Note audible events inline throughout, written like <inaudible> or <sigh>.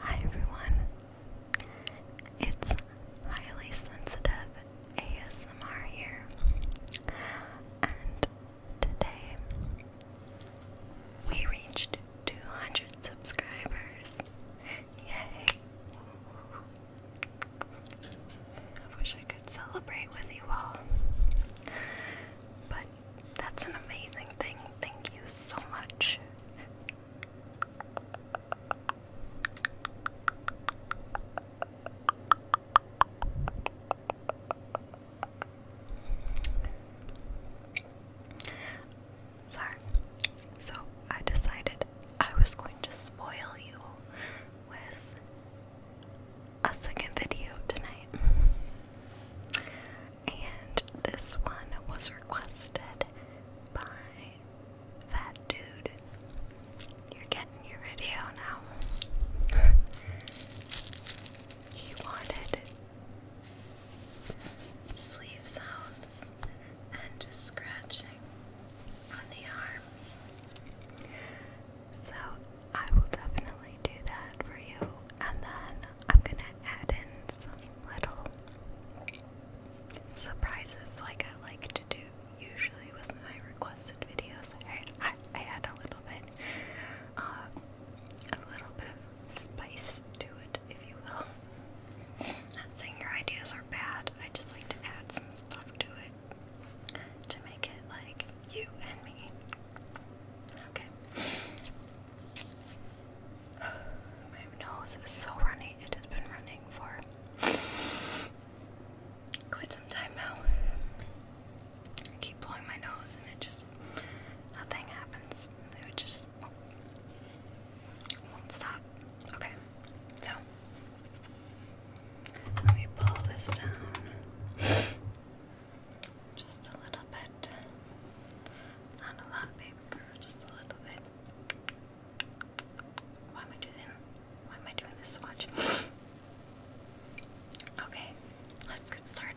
Hi everyone, it's highly sensitive ASMR here, and today we reached 200 subscribers. Yay! I wish I could celebrate with you all, but that's an amazing thing. Thank you so much. Sorry. So I decided I was going to spoil you with a second video tonight. And this one was requested by that Dude. You're getting your video now. he wanted sleeve sounds and scratching on the arms. So I will definitely do that for you, and then I'm gonna add in some little surprises like I like to do usually with my requested videos. I, add a little bit, uh, a little bit of spice to it, if you will. Not saying your ideas are bad, I just like to add some stuff to it to make it like you and me. Okay. My nose is so runny. It has been running for quite some time now. I keep blowing my nose and it just, nothing happens. It just won't, stop. Okay, so let me pull this down just a little bit. Not a lot, baby just a little bit. Why am I doing why am I doing this so much? <laughs> okay, let's get started.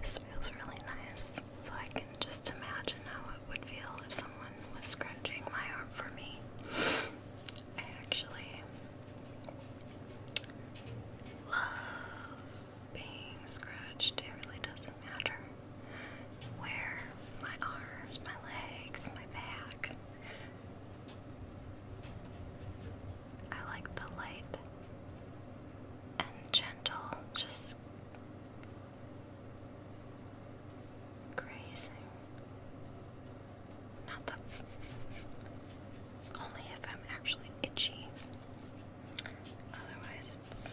This feels really nice, so I can just imagine how it would feel if someone was scratching my arm for me. I actually love being scratched, it really doesn't matter where my arms, my legs, my back. I like the light and gentle, just grazing. Not that only if I'm actually itchy. Otherwise, it's.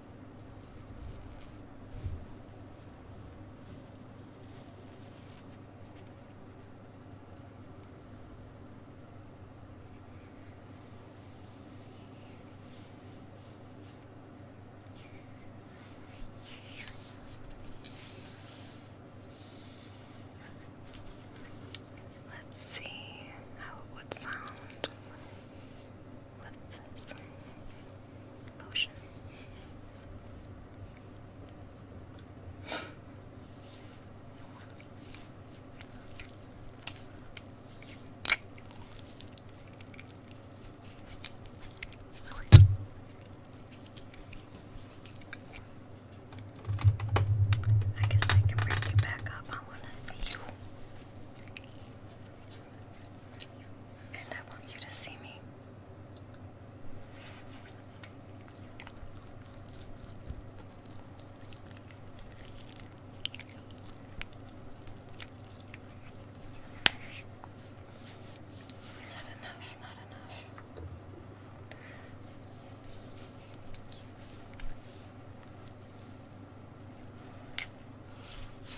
Let's see how it would sound with some potion. I guess I can bring you back up. I want to see you and I want you to see me. Not enough, not enough.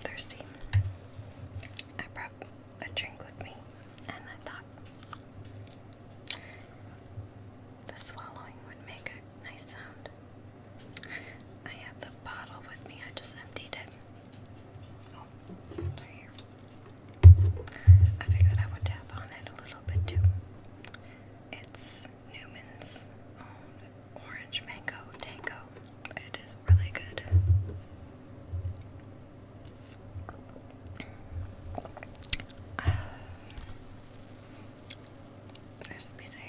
Thirsty. I brought a drink with me, and I thought the swallowing would make a nice sound. I have the bottle with me, I just emptied it. I figured I would tap on it a little bit too. It's Newman's own orange mango tango. It is really good. <sighs> there's a piece of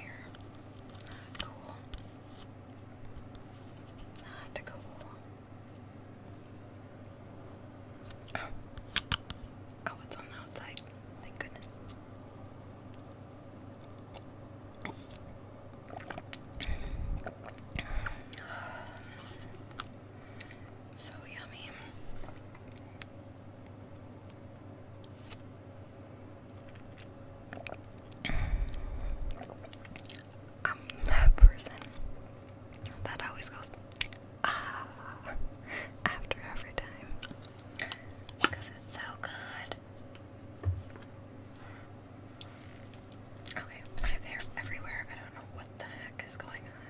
Not cool. Not cool. Oh, it's on the outside. Thank goodness. <sighs> So yummy. I'm that person that always goes ah after every time because it's so good. Okay, I have hair everywhere. I don't know what the heck is going on.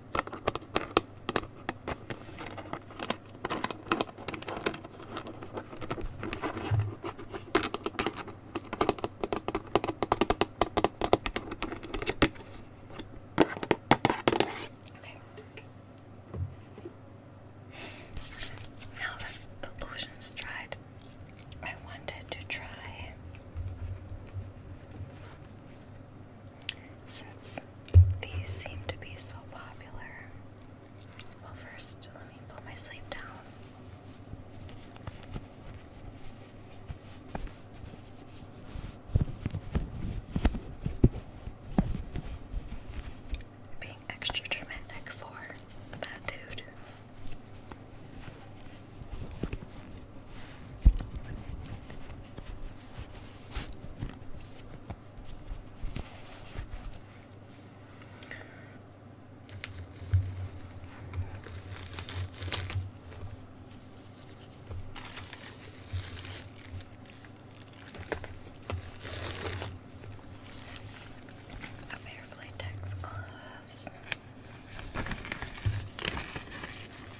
Okay. Now that the lotion's dried, I wanted to try since these seem to be so popular. Well, first, let me put my sleeve down. Being extra dramatic for that dude. A pair of latex gloves.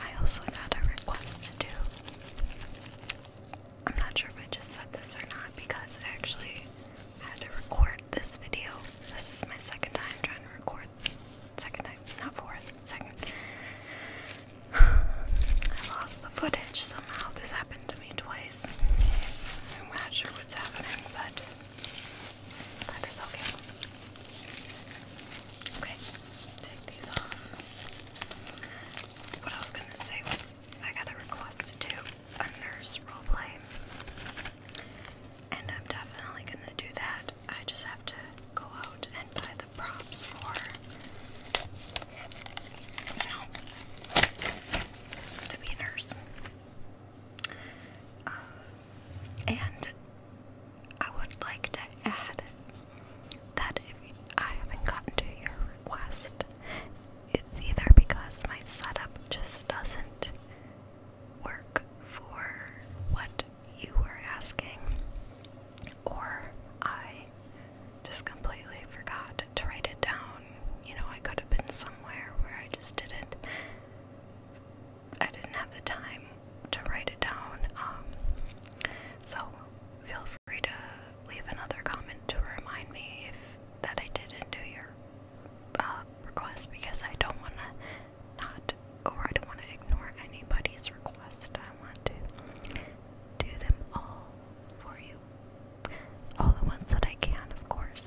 I also got a request to do. I'm not sure if I just said this or not because I actually had to record this video. This is my second time trying to record. Second time, not fourth, second. I <sighs> lost the footage somehow. This happened to me twice. I'm not sure what's happening, but that is okay. Okay, take these off. What I was gonna say was I got a request to do a nurse roleplay. And I'm definitely gonna do that. I just have to go out and buy the props for to be a nurse. Um, and I would like to add that if I haven't gotten to your request, it's either because my setup just doesn't work for what you were asking, or I just completely forgot to write it down. You know, I could have been somewhere where I just didn't. I didn't have the time to write it down. Um, so feel free to leave another comment to remind me if that I didn't do your uh, request because I don't want to not or I don't want to ignore anybody's request. I want to do them all for you all the ones that I can, of course.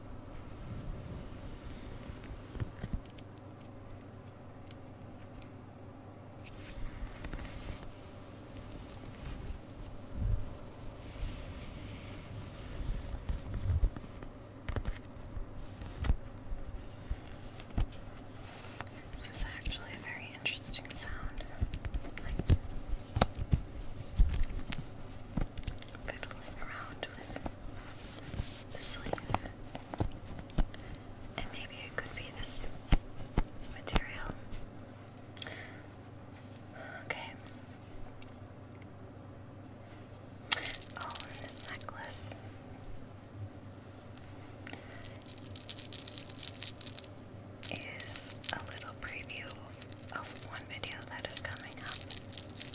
This is actually a very interesting sound. fiddling around the sleeve. And maybe it could be this material. Okay. Oh, this necklace. Is a little preview of one video that is coming up.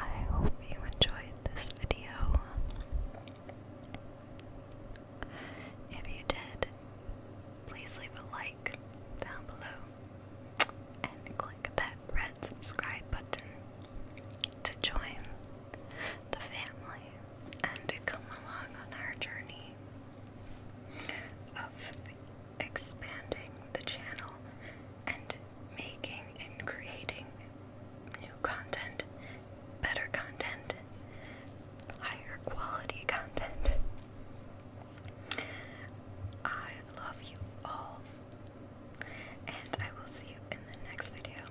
I hope you enjoyed this video. If you did, please leave a like down below and click that red subscribe button to join the family and come along on our journey of expanding the channel and making and creating new content, better content, higher quality content. I love you all, and I will see you in the next video.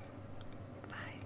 Bye.